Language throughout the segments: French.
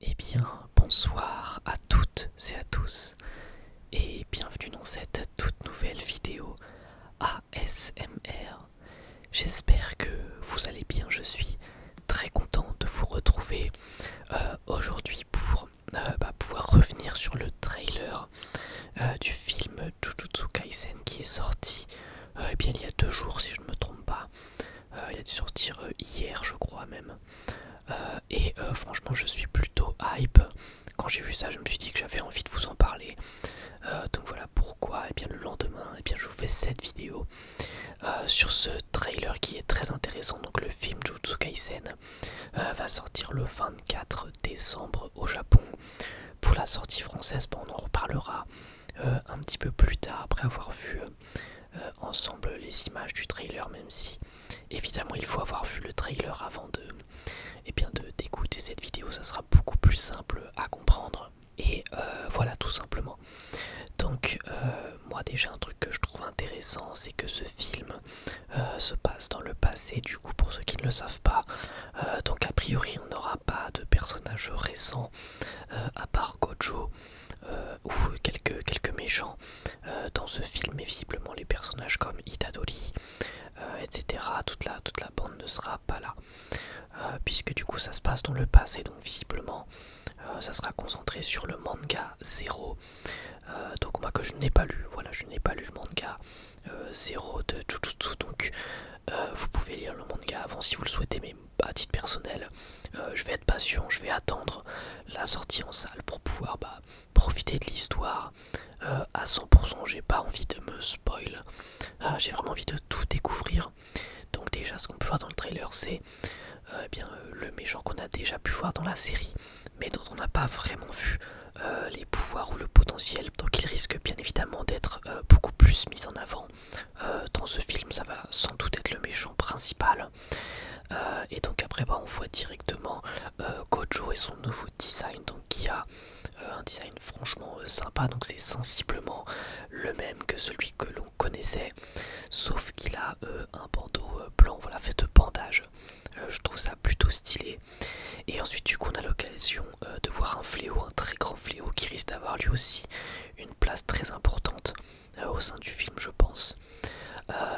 Eh bien, bonsoir à toutes et à tous, et bienvenue dans cette toute nouvelle vidéo ASMR. J'espère que vous allez bien, je suis très content de vous retrouver euh, aujourd'hui pour euh, bah, pouvoir revenir sur le trailer euh, du film Jujutsu Kaisen qui est sorti euh, eh bien, il y a deux jours si je ne me trompe pas. il a dû sortir hier je crois même. et franchement je suis plutôt hype. Quand j'ai vu ça je me suis dit que j'avais envie de vous en parler. donc voilà pourquoi eh bien, le lendemain eh bien, je vous fais cette vidéo sur ce trailer qui est très intéressant. Donc le film Jujutsu Kaisen euh, va sortir le 24 décembre au Japon. Pour la sortie française, on en reparlera euh, un petit peu plus tard après avoir vu euh, ensemble les images du trailer, même si évidemment il faut avoir vu le trailer avant de et eh bien de d'écouter cette vidéo, ça sera beaucoup plus simple à comprendre. Et voilà tout simplement. Donc moi déjà un truc que je trouve intéressant, c'est que ce film euh, se passe dans le passé, du coup pour ceux qui ne le savent pas. Euh, donc a priori on n'aura pas de personnages récents euh, à part Gojo ou quelques, quelques méchants dans ce film, mais visiblement les personnages comme Itadori, etc. Toute la, bande ne sera pas là. puisque du coup ça se passe dans le passé, donc visiblement ça sera concentré sur le manga 0 euh, donc moi que je n'ai pas lu, voilà, je n'ai pas lu le manga 0 euh, de Jujutsu, donc euh, vous pouvez lire le manga avant si vous le souhaitez, mais à titre personnel, je vais être patient, je vais attendre la sortie en salle pour pouvoir bah, profiter de l'histoire à 100%. J'ai pas envie de me spoil, ah, j'ai vraiment envie de tout découvrir. Donc déjà, ce qu'on peut voir dans le trailer, c'est eh bien le méchant qu'on a déjà pu voir dans la série mais dont on n'a pas vraiment vu euh, les pouvoirs ou le potentiel. Donc il risque bien évidemment d'être euh, beaucoup plus mis en avant euh, dans ce film. Ça va sans doute être le méchant principal. et donc après bah, on voit directement Gojo et son nouveau design donc qui a un design franchement sympa donc c'est sensiblement le même que celui que l'on connaissait sauf qu'il a un bandeau blanc voilà fait de bandage euh, je trouve ça plutôt stylé. Et ensuite, du coup, on a l'occasion euh, de voir un fléau, un très grand fléau qui risque d'avoir lui aussi une place très importante euh, au sein du film, je pense.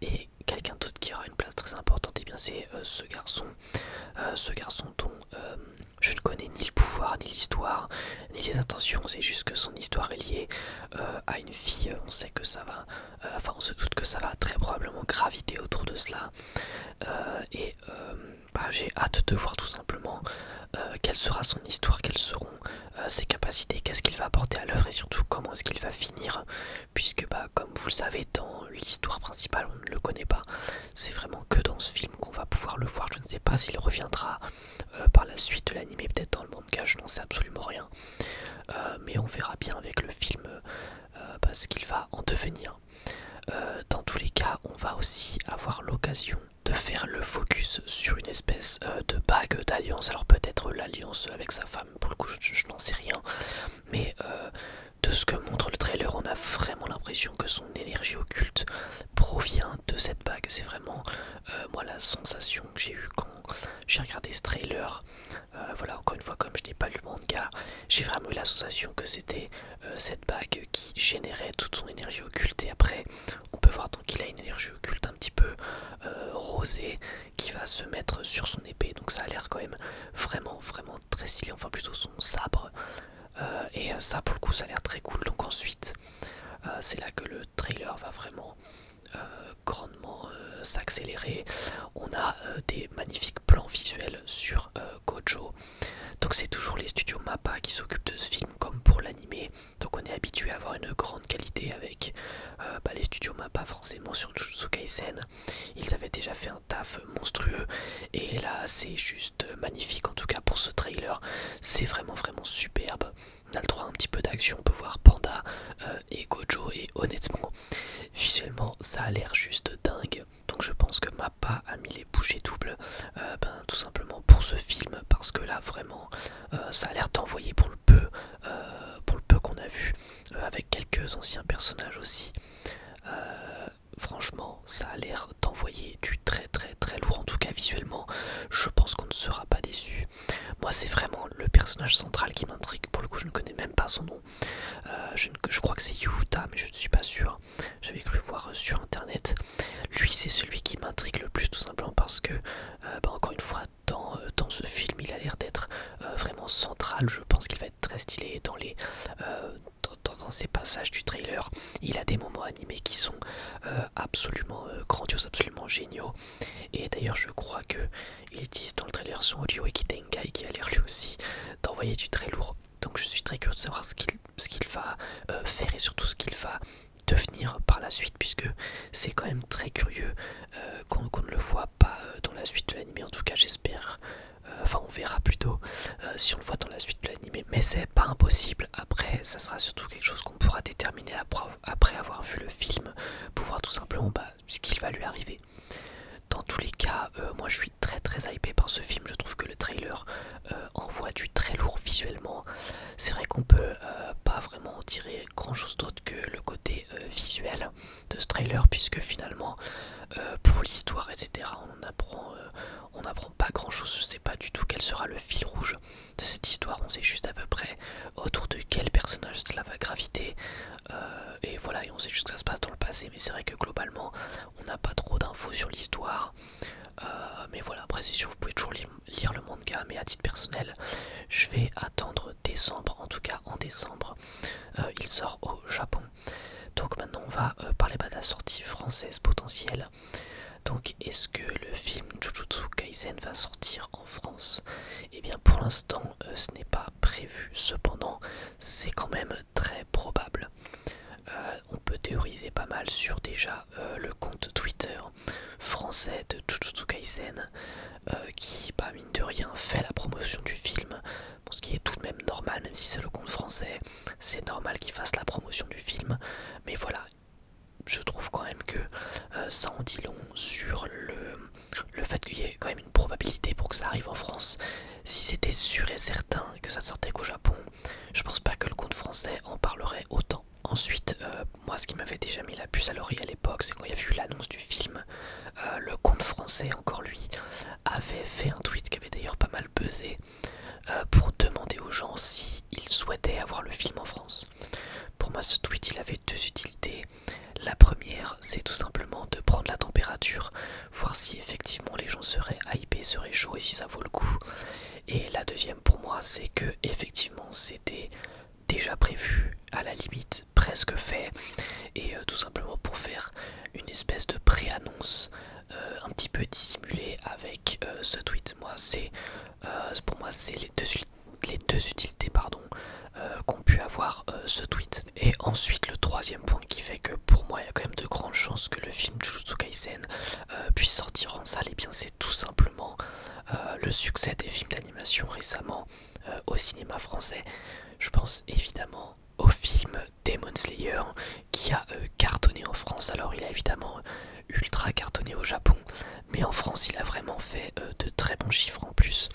et quelqu'un d'autre qui aura une place très importante, et eh bien c'est ce garçon, ce garçon dont je ne connais ni le pouvoir, ni l'histoire, ni les intentions. C'est juste que son histoire est liée à une fille. On sait que ça va euh, enfin on se doute que ça va très probablement graviter autour de cela euh, et euh, bah, j'ai hâte de voir tout simplement quelle sera son histoire, quelles seront ses capacités, qu'est-ce qu'il va apporter à l'œuvre et surtout comment est-ce qu'il va finir puisque bah, comme vous le savez dans l'histoire principale on ne le connaît pas, c'est vraiment que dans ce film qu'on va pouvoir le voir, je ne sais pas s'il reviendra par la suite de l'anime, peut-être dans le manga, je n'en sais absolument rien euh, mais on verra bien avec le film euh, bah, ce parce qu'il va en devenir. Euh, dans tous les cas, on va aussi avoir l'occasion de faire le focus sur une espèce de bague d'alliance. Alors peut-être l'alliance avec sa femme, pour le coup je, n'en sais rien. Mais de ce que montre le trailer, on a vraiment l'impression que son énergie occulte provient de cette bague. C'est vraiment euh, moi, la sensation que j'ai eu quand j'ai regardé ce trailer, euh, voilà, encore une fois, comme je n'ai pas lu le manga, j'ai vraiment eu la sensation que c'était euh, cette bague qui générait toute son énergie occulte. Et après, on peut voir donc qu'il a une énergie occulte un petit peu rosée qui va se mettre sur son épée. Donc, ça a l'air quand même vraiment, vraiment très stylé. Enfin, plutôt son sabre. et ça, pour le coup, ça a l'air très cool. Donc, ensuite, c'est là que le trailer va vraiment grandement euh, s'accélérer. On a euh, des magnifiques plans visuels sur euh, Gojo. Donc c'est toujours les studios Mappa qui s'occupent de ce film comme pour l'anime. Donc on est habitué à avoir une grande qualité avec bah, les studios Mappa forcément sur Jujutsu Kaisen. Ils avaient déjà fait un taf monstrueux et là c'est juste magnifique en tout cas pour ce trailer. C'est vraiment vraiment superbe on a le droit un petit peu d'action, on peut voir Panda euh, et Gojo et honnêtement visuellement ça a l'air juste dingue donc je pense que Mappa a mis les bouchées doubles euh, ben, tout simplement pour ce film parce que là vraiment euh, ça a l'air d'envoyer pour le peu pour le peu qu'on a vu avec quelques anciens personnages aussi franchement ça a l'air d'envoyer du très très très lourd en tout cas visuellement je pense qu'on ne sera pas déçu moi, c'est vraiment le personnage central qui m'intrigue. Pour le coup, je ne connais même pas son nom. Euh, je, crois que c'est Yuta, mais je ne suis pas sûr. J'avais cru voir euh, sur internet. Lui, c'est celui qui m'intrigue le plus, tout simplement parce que, euh, bah, encore une fois, dans, ce film, il a l'air d'être vraiment central. Je pense qu'il va être très stylé dans les. dans, ces passages du trailer, il a des moments animés qui sont absolument grandioses, absolument géniaux. Et d'ailleurs, je crois que ils disent dans le trailer son audio et Kitenkai qui a l'air lui aussi d'envoyer du très lourd. Donc je suis très curieux de savoir ce qu'il va euh, faire et surtout ce qu'il va devenir par la suite puisque c'est quand même très curieux euh, qu'on ne le voit pas euh, dans la suite de l'anime en tout cas j'espère enfin on verra plutôt si on le voit dans la suite de l'anime mais c'est pas impossible après ça sera surtout quelque chose pourra déterminer après avoir vu le film pour voir tout simplement bah, ce qu'il va lui arriver. Dans tous les cas, euh, moi je suis très très hypé par ce film, je trouve que le trailer euh, envoie du très lourd visuellement. C'est vrai qu'on peut euh, pas vraiment en tirer grand chose d'autre que le côté visuel de ce trailer puisque finalement pour l'histoire etc on apprend, on apprend pas grand chose, je sais pas du tout quel sera le fil rouge de cette histoire. On sait juste à peu près autour de quel personnage cela va graviter. Euh, et voilà, et on sait juste que ça se passe dans le passé. Mais c'est vrai que globalement, on n'a pas trop d'infos sur l'histoire. Euh, mais voilà, précision, vous pouvez toujours lire le manga, mais à titre personnel, je vais attendre décembre, en tout cas en décembre, euh, il sort au Japon. Donc maintenant on va parler pas bah, de la sortie française potentielle. Donc est-ce que le film Jujutsu Kaisen va sortir France Et eh bien pour l'instant euh, ce n'est pas prévu, cependant c'est quand même très probable. Euh, on peut théoriser pas mal sur déjà euh, le compte Twitter français de Jujutsu qui, pas bah, mine de rien, fait la promotion du film. ce qui est tout de même normal, même si c'est le compte français, c'est normal qu'il fasse la promotion du film. Mais voilà, je trouve quand même que euh, ça en dit long sur le, le fait qu'il y ait quand même une probabilité pour que ça arrive en France. Si c'était sûr et certain que ça sortait qu'au Japon, je ne pense pas que le compte français en parlerait autant. Ensuite, euh, moi ce qui m'avait déjà mis la puce à l'oreille à l'époque, c'est quand il y a eu l'annonce du film, euh, le compte français, encore lui, avait fait un tweet qui avait d'ailleurs pas mal pesé pour demander aux gens s'ils souhaitaient avoir le film en France. Pour moi, ce tweet, il avait deux utilités. La première, c'est tout simplement de prendre la température, voir si effectivement les gens seraient hypés, seraient chauds et si ça vaut le coup. Et la deuxième, pour moi, c'est que effectivement, c'était déjà prévu, à la limite presque fait, et euh, tout simplement pour faire une espèce de pré-annonce euh, un petit peu dissimulée avec euh, ce tweet. Moi, c'est euh, pour moi, c'est les deux, les deux utilités pardon, euh, qu'ont pu avoir euh, ce tweet. Et ensuite, le troisième point qui fait que pour moi, il y a quand même de grandes chances que le film Jujutsu Kaisen puisse sortir en salle, et eh bien c'est tout simplement le succès des films d'animation récemment au cinéma français. Je pense évidemment au film Demon Slayer qui a cartonné en France. Alors il a évidemment ultra cartonné au Japon, mais en France il a vraiment fait euh, de très bons chiffres en plus.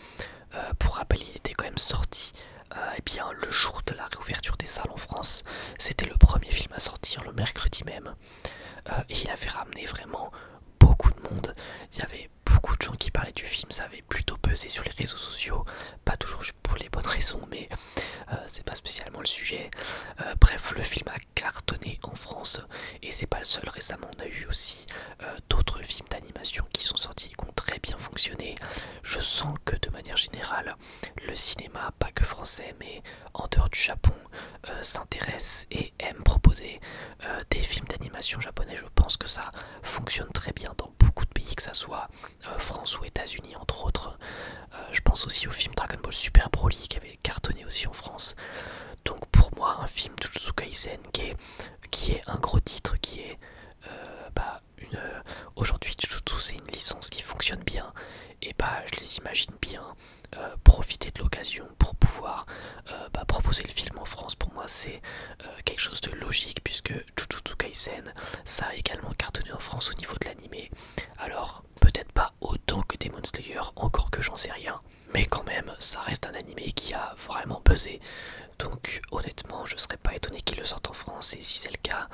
Euh, pour rappel, il était quand même sorti euh, eh bien, le jour de la réouverture des salles en France. C'était le premier film à sortir le mercredi même. et il avait ramené vraiment beaucoup de monde. Il y avait beaucoup de gens qui parlaient du film, ça avait plutôt pesé sur les réseaux sociaux. Pas toujours pour les bonnes raisons, mais c'est pas spécialement le sujet. bref, le film a cartonné en France et c'est pas le seul. Récemment, on a eu aussi euh, d'autres films d'animation qui sont sortis, qui ont très bien fonctionné. Je sens que de manière générale, le cinéma, pas que français, mais en dehors du Japon, euh, s'intéresse et aime proposer euh, des films d'animation japonais. Je pense que ça fonctionne très bien dans beaucoup de pays, que ça soit France ou États-Unis entre autres. je pense aussi au film Dragon Ball Super Broly qui avait cartonné aussi en France. Donc pour moi, un film de Jujutsu Kaisen qui est, qui est un gros titre, qui est... Euh, bah, euh, aujourd'hui, Jujutsu, c'est une licence qui fonctionne bien. Et bah, je les imagine bien euh, profiter de l'occasion pour pouvoir bah, proposer le film en France. Pour moi, c'est quelque chose de logique puisque Jujutsu Kaisen, ça a également cartonné en France au niveau de l'animé. Alors, peut-être pas autant que Demon Slayer, encore que j'en sais rien. Mais quand même, ça reste un anime qui a vraiment pesé. Donc honnêtement, je serais pas étonné qu'il le sorte en France. Et si c'est le cas,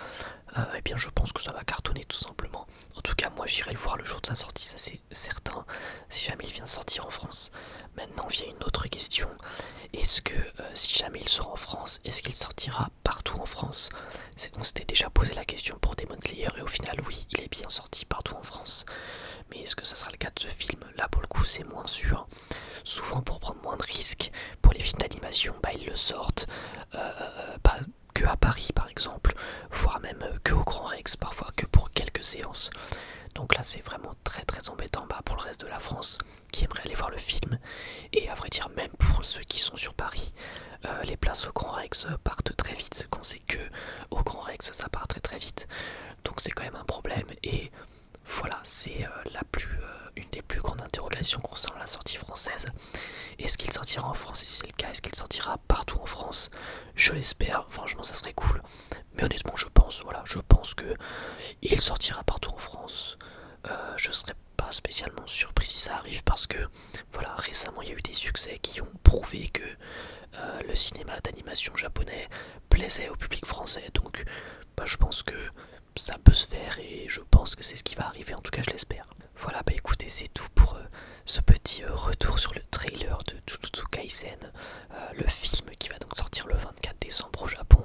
euh, eh bien je pense que ça va cartonner tout simplement. En tout cas, moi j'irai le voir le jour de sa sortie, ça c'est certain. Si jamais il vient sortir en France. Maintenant vient une autre question. Est-ce que euh, si jamais il sort en France, est-ce qu'il sortira partout en France On s'était déjà posé la question pour Demon Slayer et au final oui, il est bien sorti partout en France mais est-ce que ça sera le cas de ce film Là pour le coup c'est moins sûr. Souvent pour prendre moins de risques, pour les films d'animation, bah, ils le sortent euh, euh, que à Paris par exemple, voire même que au Grand Rex, parfois que pour quelques séances. Donc là c'est vraiment très très embêtant bah, pour le reste de la France qui aimerait aller voir le film. Et à vrai dire même pour ceux qui sont sur Paris, euh, les places au Grand Rex partent très vite ce sait que au Grand Rex ça part très très vite. Donc c'est quand même un problème et voilà, c'est euh, la plus euh, une des plus grandes interrogations concernant la sortie française. Est-ce qu'il sortira en France et si c'est le cas, est-ce qu'il sortira partout en France Je l'espère, franchement ça serait cool. Mais honnêtement, je pense voilà, je pense que il sortira partout en France. Euh, je ne serais pas spécialement surpris si ça arrive parce que voilà, récemment il y a eu des succès qui ont prouvé que euh, le cinéma d'animation japonais plaisait au public français. Donc bah, je pense que ça peut se faire et je pense que c'est ce qui va arriver, en tout cas je l'espère. Voilà, bah écoutez, c'est tout pour euh, ce petit euh, retour sur le trailer de Jujutsu Kaisen, le film qui va donc sortir le 24 décembre au Japon.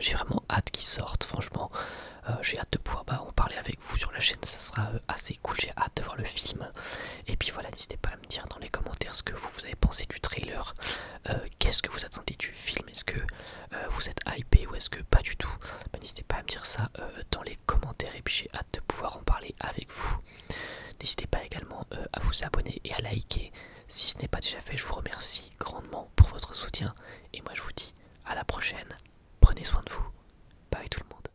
j'ai vraiment hâte qu'il sorte, franchement. j'ai hâte de pouvoir bah, en parler avec vous sur la chaîne, ça sera assez j'ai hâte de voir le film. Et puis voilà, n'hésitez pas à me dire dans les commentaires ce que vous, avez pensé du trailer, euh, qu'est-ce que vous attendez du film, est-ce que euh, vous êtes hypé ou est-ce que pas du tout. Bah, n'hésitez pas à me dire ça euh, dans les commentaires et puis j'ai hâte de pouvoir en parler avec vous. N'hésitez pas également à vous abonner et à liker si ce n'est pas déjà fait. Je vous remercie grandement pour votre soutien et moi je vous dis à la prochaine. Prenez soin de vous. Bye tout le monde.